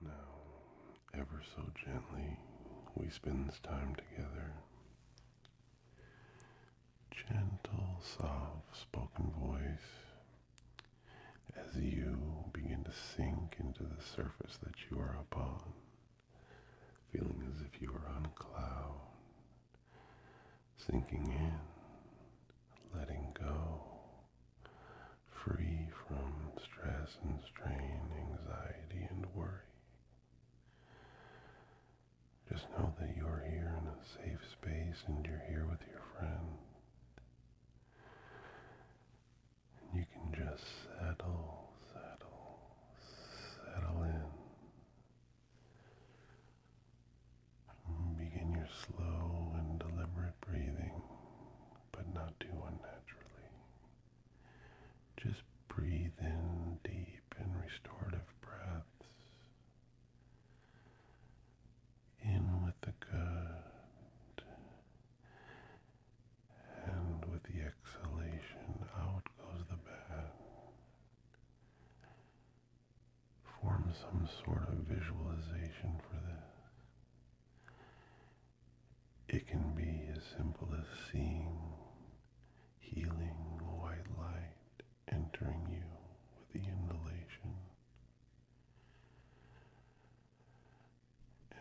Now, ever so gently, we spend this time together. Gentle, soft spoken voice as you begin to sink into the surface that you are upon, feeling as if you are on a cloud, sinking in, letting go, free from stress and strain, anxiety and worry. Just know that you are here in a safe space and you're here with your friend. And you can just settle, settle, settle in. Begin your slow and deliberate breathing but not too unnaturally. Just breathe in deep and restorative breaths. In with the good, and with the exhalation, out goes the bad. Form some sort of visualization for this. It can be as simple as seeing healing white light entering you with the inhalation.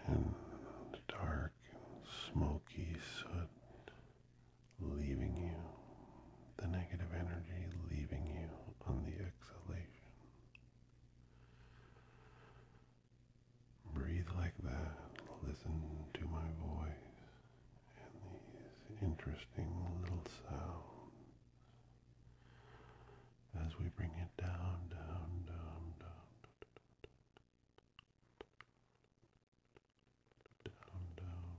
And dark and smoky soot leaving you, the negative energy leaving you on the exhalation. Breathe like that. Listen to my voice and these interesting little sounds as we bring it down, down, down, down, down, down, down,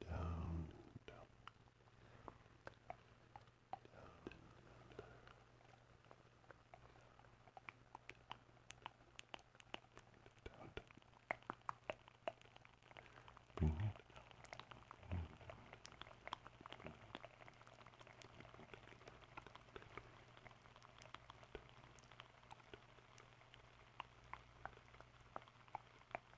down, down, down, down. Down. Bring it. Bring it. Bring it. Down.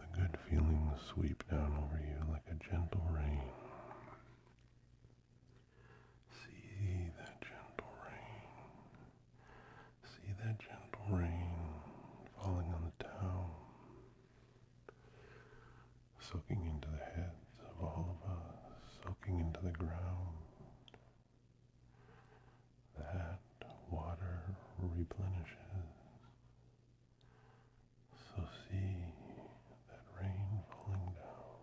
The good feelings sweep down over you like a gentle rain. See that gentle rain See that gentle rain falling on the town, soaking into the heads of all of us, soaking into the ground. That water replenishes. So see that rain falling down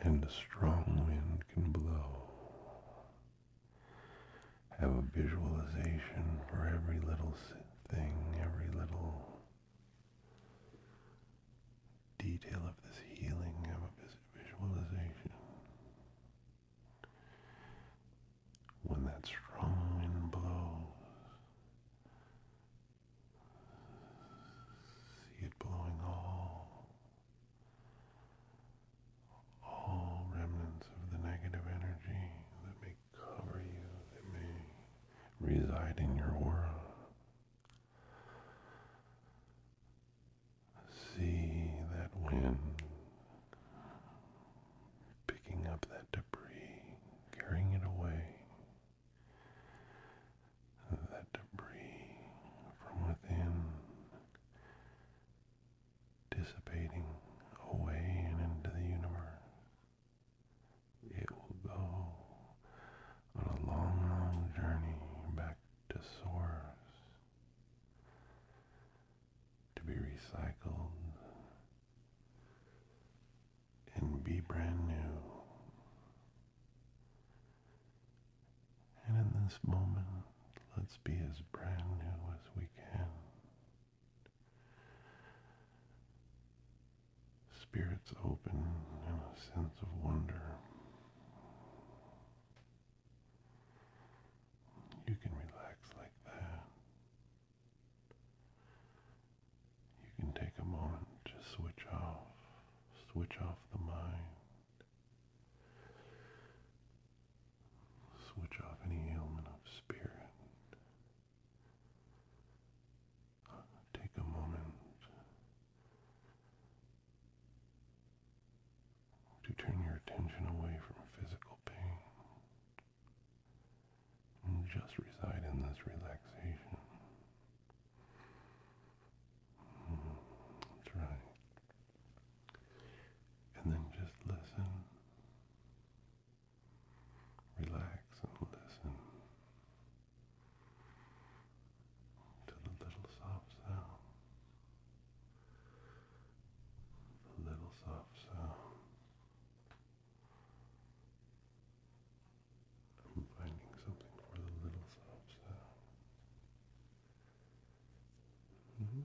And a strong wind can blow. Have a visualization for every little thing, every little detail of this healing. Have a visualization. When that strong wind blows, see it blowing all, all remnants of the negative energy that may cover you, that may reside in your aura. See that wind picking up that debris, carrying it away. That debris from within dissipating away and into the universe. It will go on a long, long journey back to source to be recycled and be brand new. And in this moment, let's be as brand new as we can. Spirits open and a sense of wonder. You can relax like that. You can take a moment to switch off, switch off the mind, switch off any ailment of spirit. Take a moment to turn your attention away from physical pain and just reside in this relaxation. Mm, And then just listen. Relax and listen to the little soft sound a little soft sound. I'm finding something for the little soft -hmm.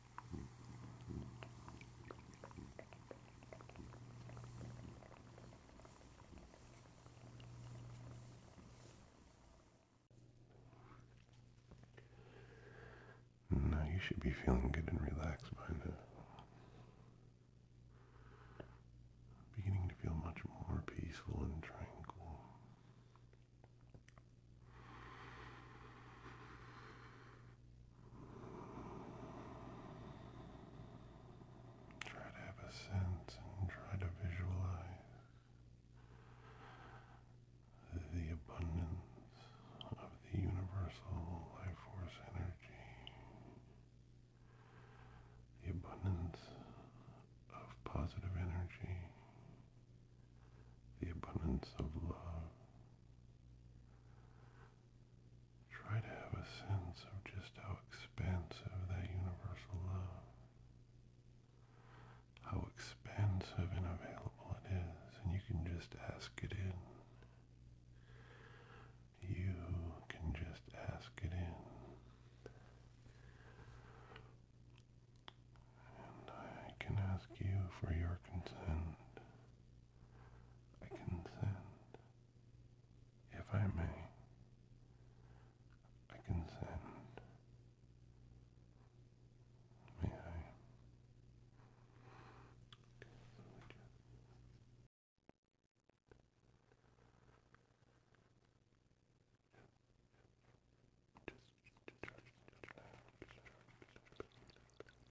Now you should be feeling good and relaxed by now. Beginning to feel much more peaceful and tranquil. Try to have a sense and try to visualize the abundance of the universal life force energy, the abundance of positive energy, the abundance of love. Try to have a sense of just how expansive that universal love, how expansive and available it is, and you can just ask it in. You can just ask it in. And I can ask you for your consent I consent, if I may, I consent, may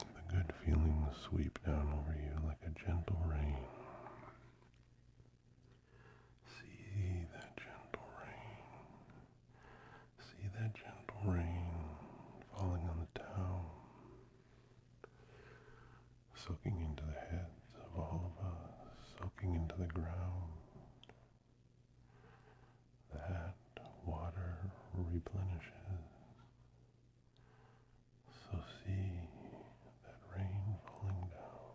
The good feelings sweep down over you like a gentle rain. See that gentle rain. See that gentle rain falling on the town soaking into the heads of all of us, soaking into the ground. That water replenishes. So see that rain falling down.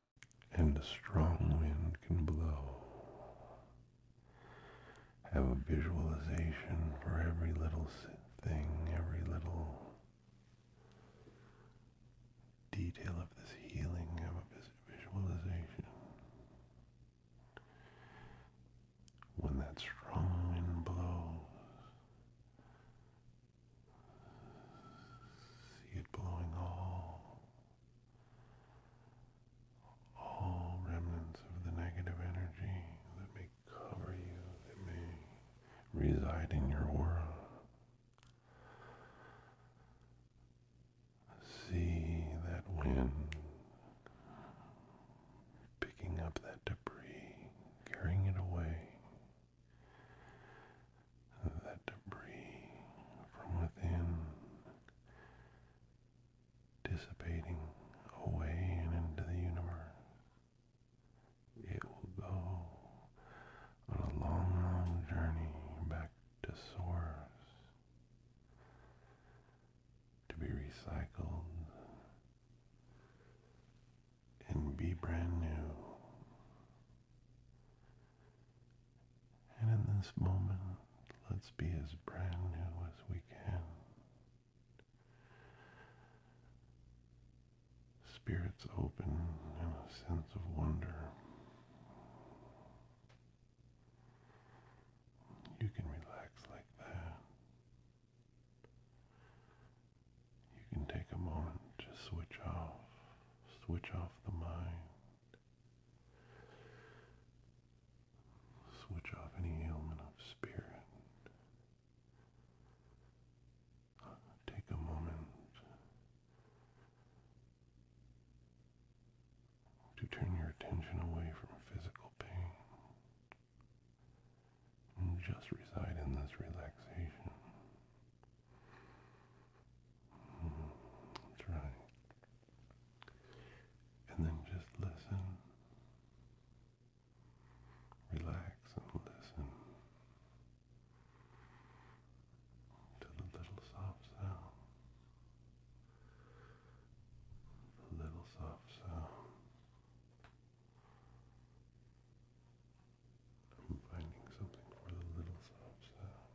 and a strong wind can blow. Have a visualization for every little thing, every little detail of this healing. Have a visualization. When that strong wind blows, See it blowing all all remnants of the negative energy that may cover you, that may reside in your aura. See that wind picking up that debris, carrying it away, that debris from within dissipating away and into the universe. It will go on a long, long journey back to source to be recycled and be brand new. And in this moment, let's be as brand new as we can. Spirits open and a sense of wonder. You can relax like that. You can take a moment to switch off Switch off the mind. Switch off any ailment of spirit. Take a moment to turn your attention away from physical pain and just reside in this relaxation. That's right. And then just listen. Relax and listen to the little soft sound. The little soft sound I'm finding something for the little soft sounds.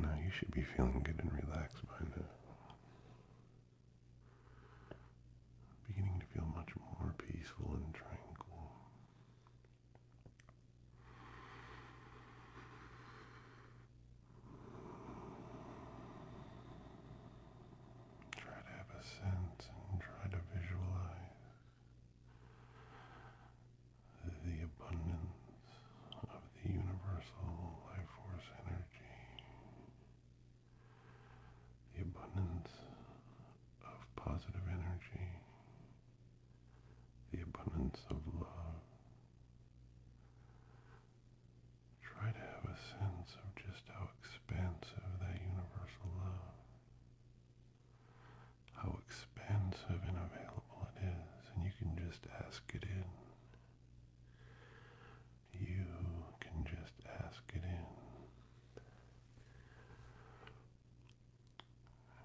Now you should be feeling good and relaxed by now. Beginning to feel much more peaceful and tranquil. Try to have a sense and try to visualize the abundance of the universal life force energy, the abundance of positive energy, the abundance of love. Try to have a sense of just how expansive that universal love how expensive and available it is, and you can just ask it in. You can just ask it in.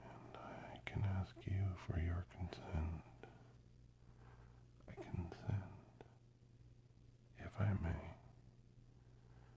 And I can ask you for your consent. I consent, if I may,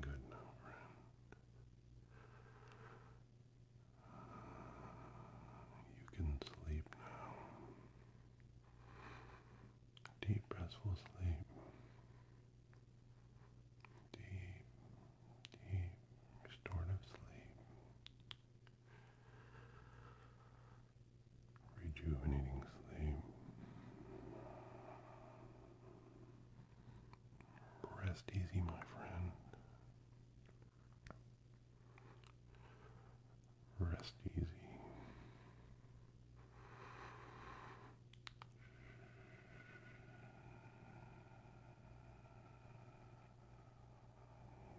Good now, friend. you can sleep now. Deep, restful sleep. Deep, deep, restorative sleep rejuvenating sleep, rest easy, my friend. Rest easy.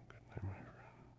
Good night, my friend.